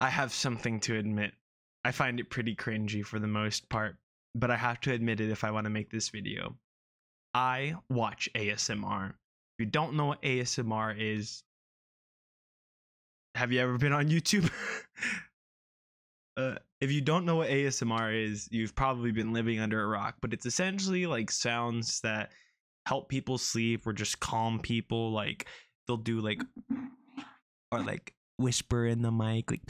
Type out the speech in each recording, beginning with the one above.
I have something to admit. I find it pretty cringy for the most part, but I have to admit it if I want to make this video. I watch ASMR. If you don't know what ASMR is, have you ever been on YouTube? Uh, if you don't know what ASMR is, you've probably been living under a rock, but it's essentially like sounds that help people sleep or just calm people, like they'll do like or like whisper in the mic like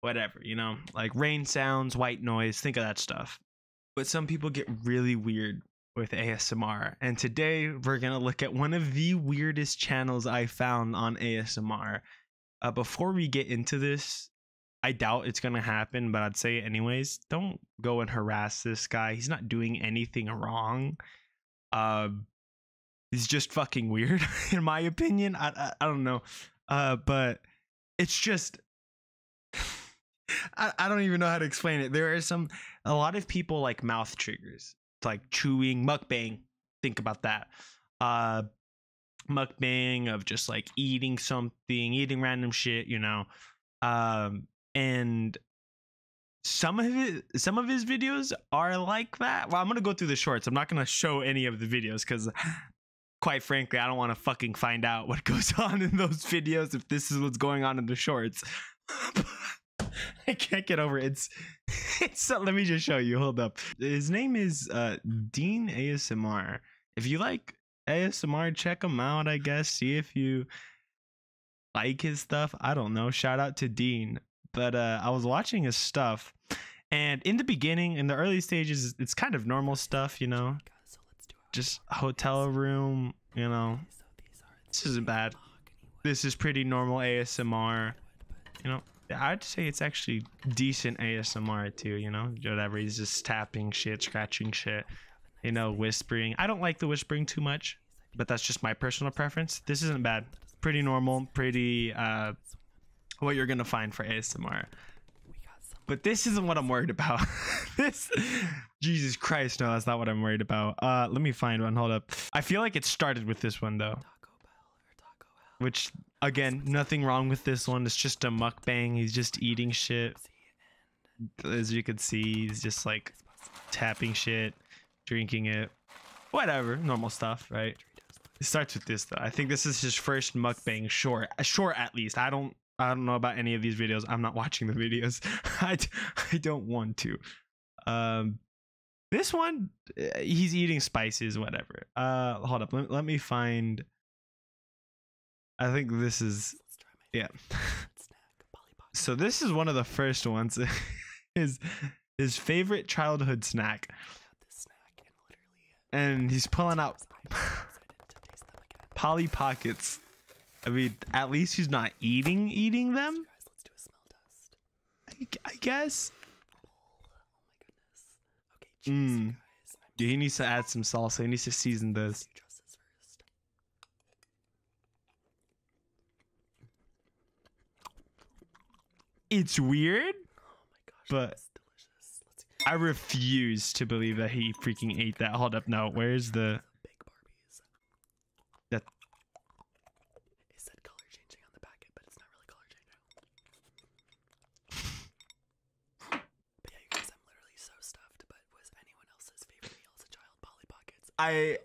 whatever you know like rain sounds white noise think of that stuff but some people get really weird with ASMR and today we're going to look at one of the weirdest channels I found on ASMR uh, before we get into this I doubt it's going to happen but I'd say anyways don't go and harass this guy he's not doing anything wrong uh, is just fucking weird, in my opinion. I, I, don't know. Uh, but it's just. I, I don't even know how to explain it. There are some, a lot of people like mouth triggers, it's like chewing, mukbang. Think about that. Uh, mukbang of just like eating something, eating random shit, you know. Um, and some of his, some of his videos are like that. Well, I'm gonna go through the shorts. I'm not gonna show any of the videos because, quite frankly, I don't want to fucking find out what goes on in those videos if this is what's going on in the shorts. I can't get over it. It's, it's let me just show you. Hold up. His name is uh, Dean ASMR. If you like ASMR, check him out. I guess see if you like his stuff. I don't know. Shout out to Dean. But uh, I was watching his stuff, and in the beginning, in the early stages, it's kind of normal stuff, you know, just hotel room, you know. This isn't bad. This is pretty normal ASMR, you know. I'd say it's actually decent ASMR too, you know, whatever. He's just tapping shit, scratching shit, you know, whispering. I don't like the whispering too much but that's just my personal preference. This isn't bad. Pretty normal, pretty uh, what you're gonna find for ASMR. But this isn't what I'm worried about. this, Jesus Christ, no, that's not what I'm worried about. Uh, let me find one. Hold up. I feel like it started with this one though. Which again, nothing wrong with this one. It's just a mukbang. He's just eating shit as you can see, he's just like tapping shit, drinking it, whatever, normal stuff, right? It starts with this though. I think this is his first mukbang short, short at least. I don't, I don't know about any of these videos. I'm not watching the videos. I, I don't want to. Um, this one, eh, he's eating spices, whatever. Uh, hold up, let, let me find. I think this is Let's, try my yeah. So this is one of the first ones. his his favorite childhood snack. and, he's pulling out Polly Pockets. I mean, at least he's not eating eating them. Guys, let's do a smell test. I, guess. Oh, oh, he needs to add some salsa. He needs to season this. It's weird. Oh my gosh, but delicious. I refuse to believe that he freaking ate that. Hold up, now where's the big Barbies? That it said color changing on the packet, but it's not really color changing. but yeah, guys, I'm literally so stuffed, but was anyone else's favorite meal as a child Polly Pockets? I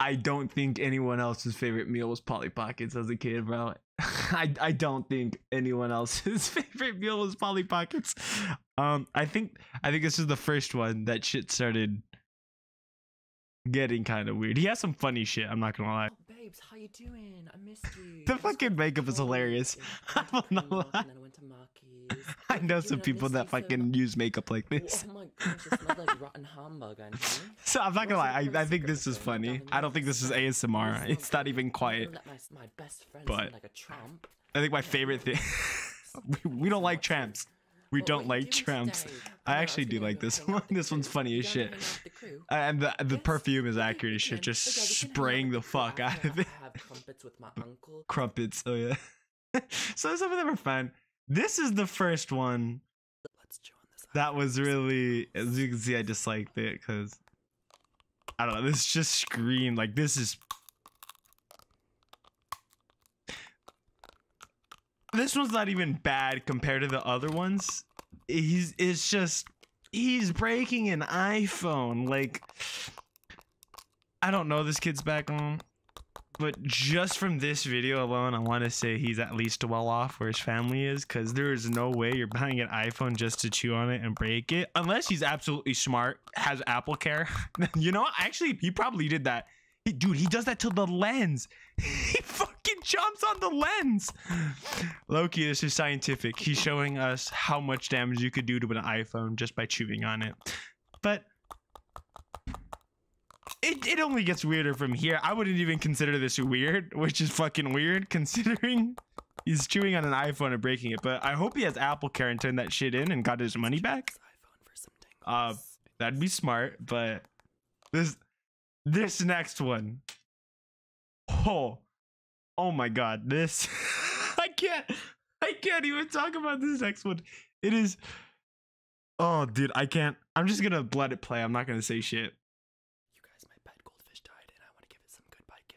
I don't think anyone else's favorite meal was Polly Pockets as a kid, bro. I I don't think anyone else's favorite meal was Polly Pockets. Um, I think I think this is the first one that shit started getting kind of weird. He has some funny shit. I'm not gonna lie. Oh, the fucking makeup is hilarious. not lying. I know some people that fucking use makeup like oh this. Oh my gosh, it not like rotten hamburg on here. So I'm not gonna lie, I, I think this is funny. I don't think this is ASMR. It's not even quiet. my, best friend but like a tramp. I think my favorite thing. we, don't like tramps. We don't like tramps. I actually do like this one. This one's funny as shit. And the the perfume is accurate as shit. Just spraying the fuck out of it. Crumpets. Oh yeah. so some of them are fun. This is the first one. That was really, as you can see, I disliked it because I don't know. This just screamed like this is. This one's not even bad compared to the other ones. He's it's just he's breaking an iPhone like I don't know this kid's background, but just from this video alone, I want to say he's at least well off where his family is because there is no way you're buying an iPhone just to chew on it and break it unless he's absolutely smart, has Apple Care. you know, actually, he probably did that. dude, he does that to the lens. he fucking jumps on the lens. Loki, this is scientific. He's showing us how much damage you could do to an iPhone just by chewing on it. But it, it only gets weirder from here. I wouldn't even consider this weird, which is fucking weird considering he's chewing on an iPhone and breaking it. But I hope he has Apple Care and turned that shit in and got his money back. Uh, that'd be smart. But this this next one, oh, oh my god, this I can't. I can't even talk about this next one. It is. Oh, dude, I can't. I'm just gonna let it play. I'm not gonna say shit.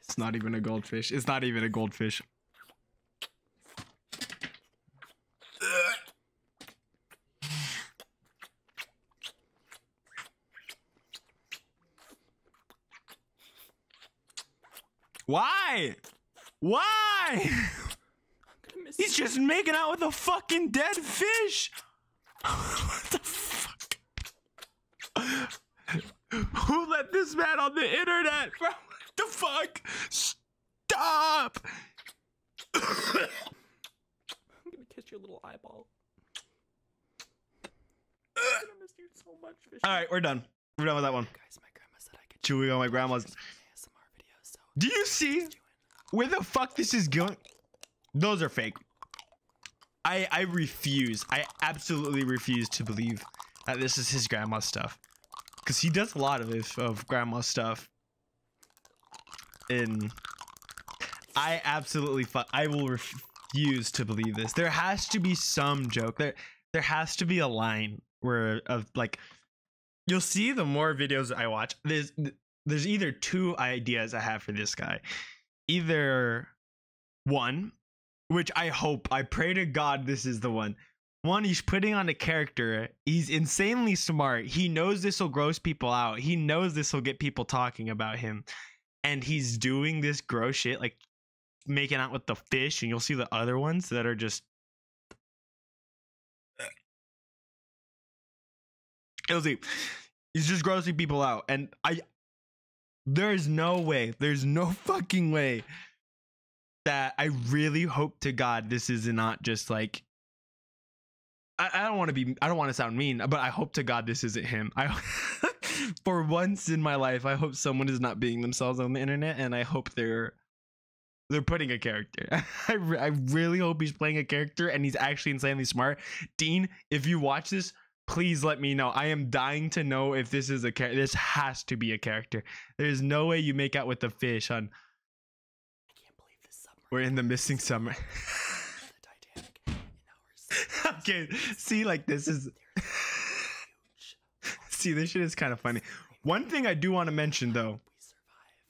It's not even a goldfish. It's not even a goldfish. Why? Why? He's just making out with a fucking dead fish. what the fuck? Who let this man on the internet? the fuck? Stop! I'm gonna kiss your little eyeball. I'm you so much, All right, we're done. We're done with that one. Guys, my grandma said I could chewing on my grandma's. Do you see where the fuck this is going? Those are fake. I I refuse. I absolutely refuse to believe that this is his grandma stuff, because he does a lot of this of grandma stuff. In, I absolutely I will refuse to believe this. There has to be some joke. There there has to be a line where of uh, like you'll see the more videos I watch. There's there's either two ideas I have for this guy. Either one, which I hope, I pray to God this is the one. One, he's putting on a character. He's insanely smart. He knows this will gross people out. He knows this will get people talking about him. And he's doing this gross shit like making out with the fish, and you'll see the other ones that are just. It'll see. He's just grossing people out, and I. There's no way. There's no fucking way that I really hope to God this is not just like I don't want to be I don't want to sound mean, but I hope to God this isn't him. I for once in my life, I hope someone is not being themselves on the internet, and I hope they're they're putting a character. I, I really hope he's playing a character and he's actually insanely smart. Dean, if you watch this, please let me know. I am dying to know if this is a character. This has to be a character. There's no way you make out with the fish on. I can't believe this summer. We're in the missing summer. okay, see, like this is. See, this shit is kind of funny. One thing I do want to mention though,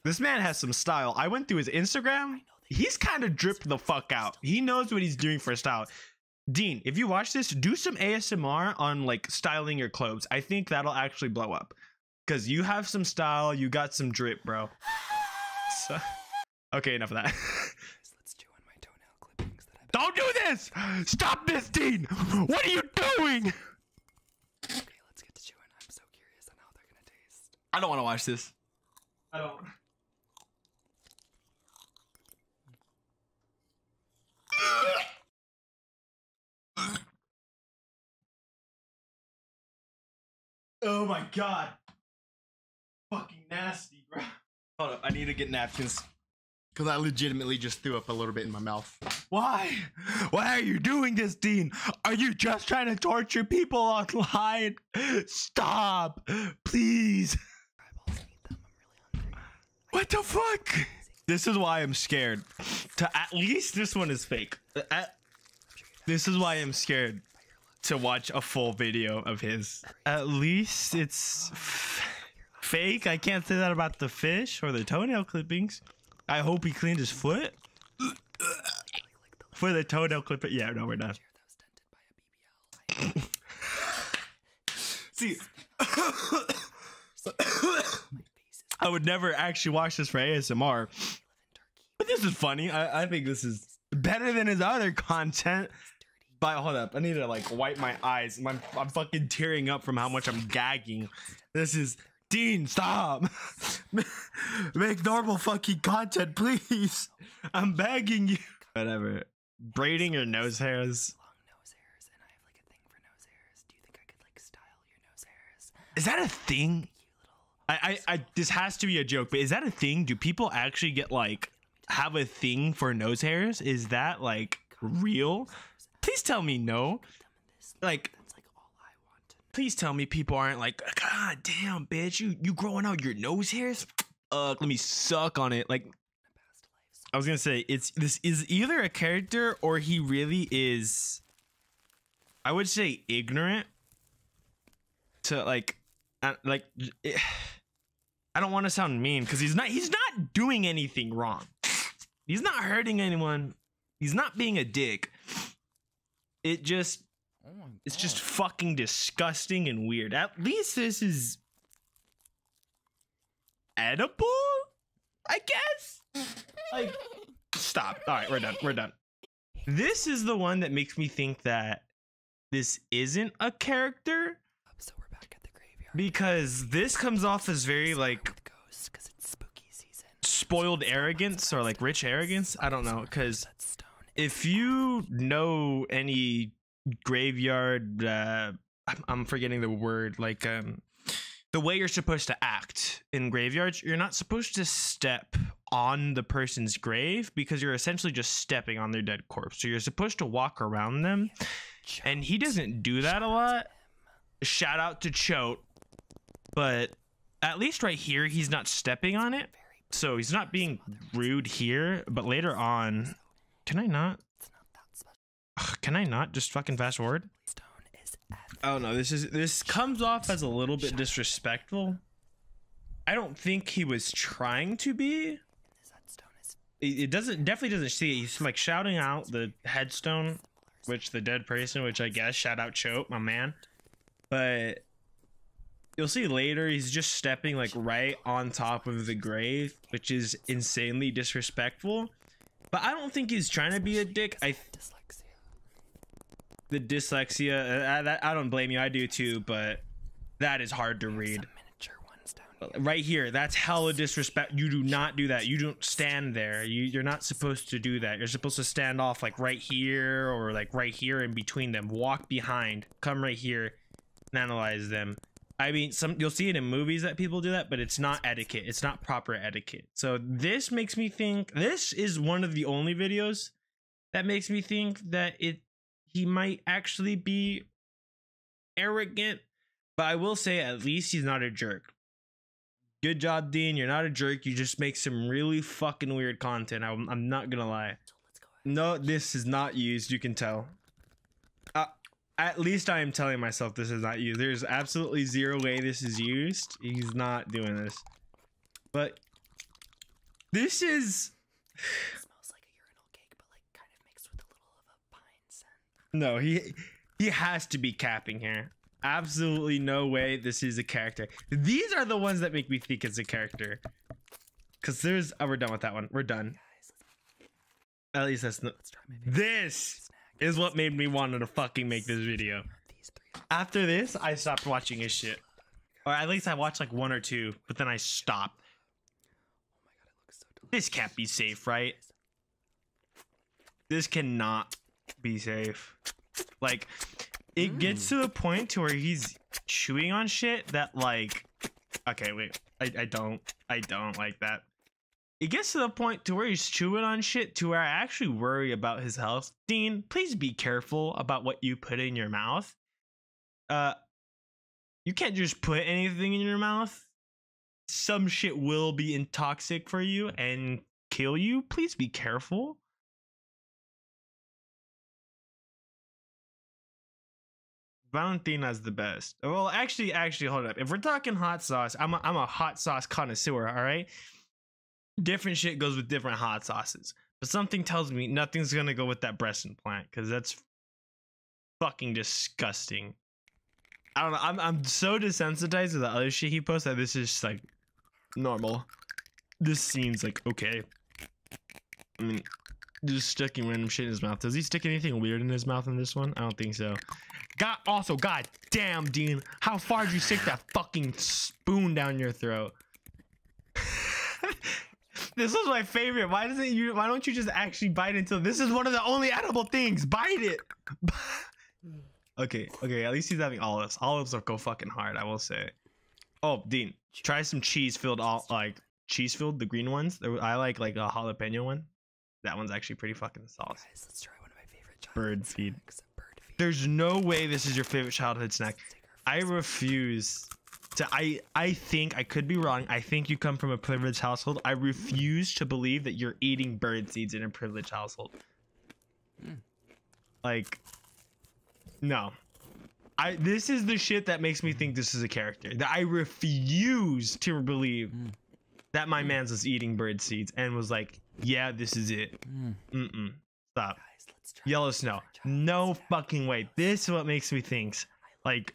this man has some style. I went through his Instagram. He's kind of dripped the fuck out. He knows what he's doing for style. Dean, if you watch this, do some ASMR on like styling your clothes. I think that'll actually blow up. Cause you have some style, you got some drip, bro. okay, enough of that. Don't do this! Stop this, Dean! What are you doing? Okay, let's get to chewing. I'm so curious on how they're gonna taste. I don't wanna watch this. I don't. Oh my god. Fucking nasty, bro. Hold up, I need to get napkins. Because I legitimately just threw up a little bit in my mouth. Why? Why are you doing this, Dean? Are you just trying to torture people online? Stop! Please! What the fuck? This is why I'm scared. To at least this one is fake. Uh, this is why I'm scared to watch a full video of his. At least it's. Fake. I can't say that about the fish or the toenail clippings. I hope he cleaned his foot. For the toenail clipper, Yeah, no, we're not. See, I would never actually watch this for ASMR. But this is funny. I, I think this is better than his other content. But hold up, I need to like wipe my eyes. i I'm fucking tearing up from how much I'm gagging. This is Dean, stop. Make normal fucking content, please. I'm begging you. Whatever. Braiding your nose hairs. Is that a thing? I, I, I, this has to be a joke, but is that a thing? Do people actually get like have a thing for nose hairs? Is that like real? Please tell me no. Like Please tell me people aren't like, God damn, bitch, you you growing out your nose hairs? Uh, let me suck on it. Like, I was gonna say it's this is either a character or he really is. I would say ignorant to like, uh, like. Eh, I don't want to sound mean because he's not he's not doing anything wrong. He's not hurting anyone. He's not being a dick. It just oh it's just fucking disgusting and weird. At least this is edible, I guess. Like stop. All right, we're done. We're done. This is the one that makes me think that this isn't a character um, because this comes off as very like spoiled arrogance or like rich arrogance. I don't know. Because if you know any graveyard, uh, I'm forgetting the word. Like um, the way you're supposed to act in graveyards, you're not supposed to step on the person's grave because you're essentially just stepping on their dead corpse. So you're supposed to walk around them and he doesn't do that a lot. Shout out to Choate. But at least right here, he's not stepping on it. So he's not being rude here. But later on, can I not? can I not just fucking fast forward? Oh no, this is this comes off as a little bit disrespectful. I don't think he was trying to be it doesn't definitely doesn't see it. He's like shouting out the headstone, which the dead person, which I guess shout out choke my man. But you'll see later he's just stepping like right on top of the grave, which is insanely disrespectful. But I don't think he's trying to be a dick. I dyslexia. The dyslexia, I, uh, I don't blame you. I do too, but that is hard to read right here that's hell of disrespect you do not do that you don't stand there you, you're not supposed to do that you're supposed to stand off like right here or like right here in between them walk behind come right here and analyze them i mean some you'll see it in movies that people do that but it's not etiquette it's not proper etiquette so this makes me think this is one of the only videos that makes me think that it he might actually be arrogant, but I will say at least he's not a jerk. Good job, Dean. You're not a jerk. You just make some really fucking weird content. I'm, I'm not gonna lie. No, this is not used. You can tell. Uh, at least I am telling myself this is not used. There's absolutely zero way this is used. He's not doing this. But this is. smells like a urinal cake, but like kind of mixed with a little of a no, he he has to be capping here. Absolutely no way this is a character. These are the ones that make me think it's a character. Cause there's oh we're done with that one. We're done. At least that's not. This is what made me want to fucking make this video. After this, I stopped watching his shit. Or at least I watched like one or two, but then I stopped. Oh this can't be safe, right? This cannot be safe. Like, it gets to the point to where he's chewing on shit that like okay wait I, I don't i don't like that it gets to the point to where he's chewing on shit to where i actually worry about his health dean please be careful about what you put in your mouth uh, you can't just put anything in your mouth. Some shit will be intoxic for you and kill you. Please be careful. Valentina's the best. Well, actually, actually, hold up. If we're talking hot sauce, I'm a, I'm a hot sauce connoisseur. All right, different shit goes with different hot sauces. But something tells me nothing's gonna go with that breast implant because that's fucking disgusting. I don't know. I'm I'm so desensitized to the other shit he posts that this is just like normal. This seems like okay. I mean, just sticking random shit in his mouth. Does he stick anything weird in his mouth in this one? I don't think so. God, also, god damn, Dean, how far did you stick that fucking spoon down your throat? this was my favorite. Why doesn't you? Why don't you just actually bite until this is one of the only edible things? Bite it. okay, okay. At least he's having olives. Olives are go fucking hard. I will say. Oh, Dean, try some cheese filled all like cheese filled the green ones. I like like a jalapeno one. That one's actually pretty fucking sauce. Guys, let's try one of my favorite bird bird feed. There's no way this is your favorite childhood snack. I refuse to. I I think I could be wrong. I think you come from a privileged household. I refuse to believe that you're eating bird seeds in a privileged household. Hmm. Like, no. I this is the shit that makes me think this is a character. That I refuse to believe hmm. that my hmm. man's was eating bird seeds and was like, yeah, this is it. Mm. Stop. Yellow snow. No fucking way. This is what makes me think. Like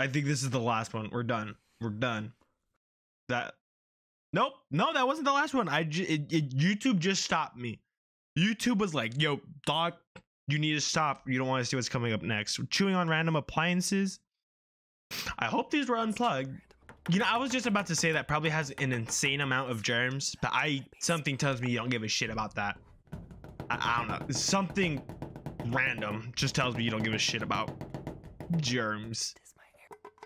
I think this is the last one. We're done. We're done. That. Nope. No, that wasn't the last one. I. YouTube just stopped me. YouTube was like, "Yo, doc, you need to stop. You don't want to see what's coming up next." Chewing on random appliances. I hope these were unplugged. You know, I was just about to say that probably has an insane amount of germs, but I something tells me you don't give a shit about that. I don't know. Something random. Just tells me you don't give a shit about germs.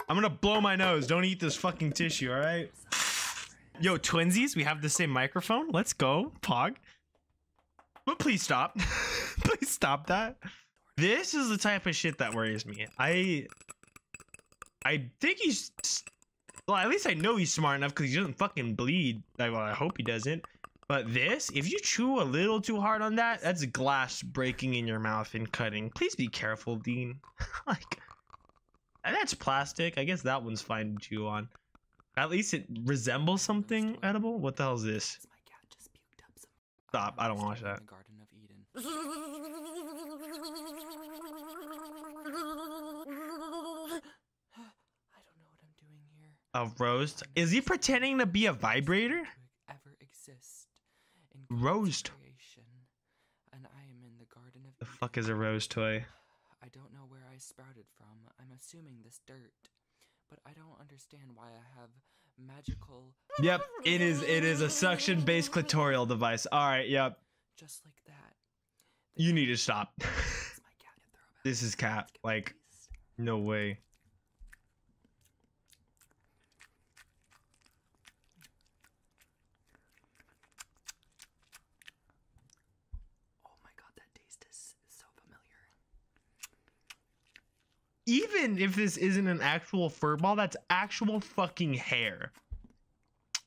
I'm gonna blow my nose. Don't eat this fucking tissue, all right? Yo, twinsies, we have the same microphone. Let's go, Pog. But please stop. please stop that. This is the type of shit that worries me. I I think he's well, at least I know he's smart enough because he doesn't fucking bleed. well, I hope he doesn't. But this, if you chew a little too hard on that, that's glass breaking in your mouth and cutting. Please be careful, Dean. like, that's plastic. I guess that one's fine to chew on. At least it resembles something edible. What the hell is this? Stop. I don't want to watch that. A rose? Is he pretending to be a vibrator? Ever exist the fuck is a rose toy? I don't know where I sprouted from. I'm assuming this dirt, but I don't understand why I have magical. Yep, it is. It is a suction-based clitoral device. All right. Yep. Just like that. you need to stop. this is cat. Like, no way. Oh my god, that taste is so familiar. Even if this isn't an actual fur ball, that's actual fucking hair.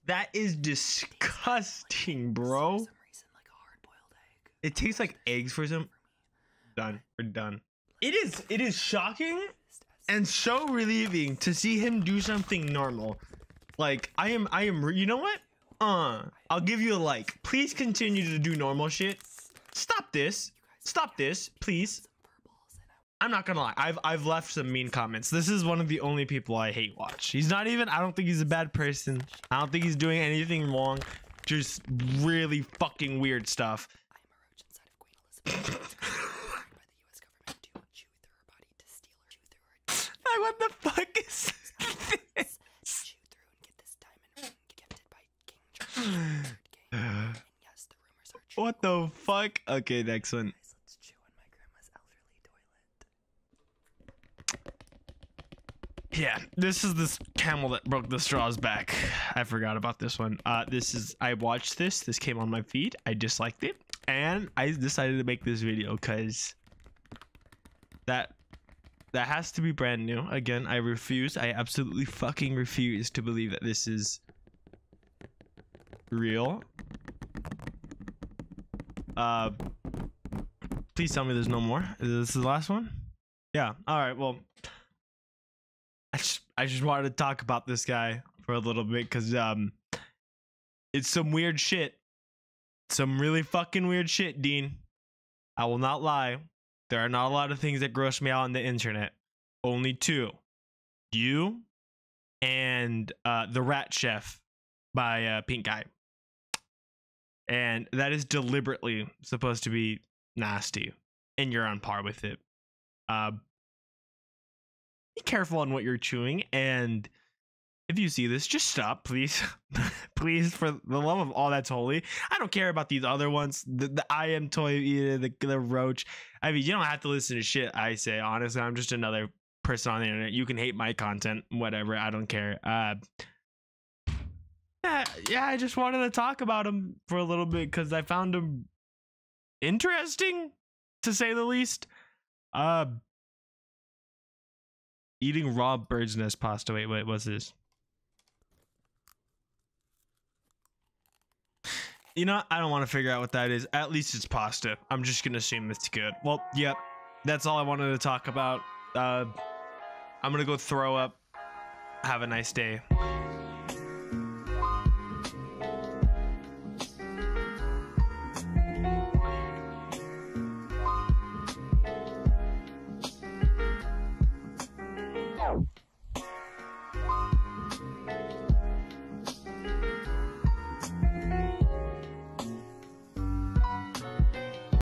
That is disgusting, bro. It tastes like eggs for some Done. We're done. It is it is shocking and so relieving to see him do something normal. Like I am I am you know what? Uh, I'll give you a like. Please continue to do normal shit. Stop this. Stop this, please. I'm not gonna lie. I've I've left some mean comments. This is one of the only people I hate watch. He's not even. I don't think he's a bad person. I don't think he's doing anything wrong. Just really fucking weird stuff. I am a roach inside of Queen Elizabeth. by the U.S. government to chew through her body to steal her, I what the fuck is this? Chew through and get this diamond ring gifted by King Charles And yes, the rumors are true. What the fuck? Okay, next one. Yeah, this is this camel that broke the straws back. I forgot about this one. Uh, this is I watched this. This came on my feed. I disliked it, and I decided to make this video because that that has to be brand new. Again, I refuse. I absolutely fucking refuse to believe that this is real. Uh, please tell me there's no more. This Is the last one? Yeah. All right. Well, I just I just wanted to talk about this guy for a little bit because um, it's some weird shit. Some really fucking weird shit, Dean. I will not lie. There are not a lot of things that gross me out on the internet. Only two. You and uh, The Rat Chef by uh, Pink Guy. And that is deliberately supposed to be nasty, and you're on par with it. Uh, be careful on what you're chewing, and if you see this, just stop, please. please, for the love of all that's holy. I don't care about these other ones. The, the I am toy eater, the, the roach. I mean, you don't have to listen to shit I say. Honestly, I'm just another person on the internet. You can hate my content, whatever. I don't care. Uh, yeah, yeah, I just wanted to talk about him for a little bit because I found him interesting, to say the least. Uh, eating raw bird's nest pasta. Wait, wait, what's this? You know, I don't want to figure out what that is. At least it's pasta. I'm just going to assume it's good. Well, yep that's all I wanted to talk about. Uh, I'm gonna go throw up. Have a nice day.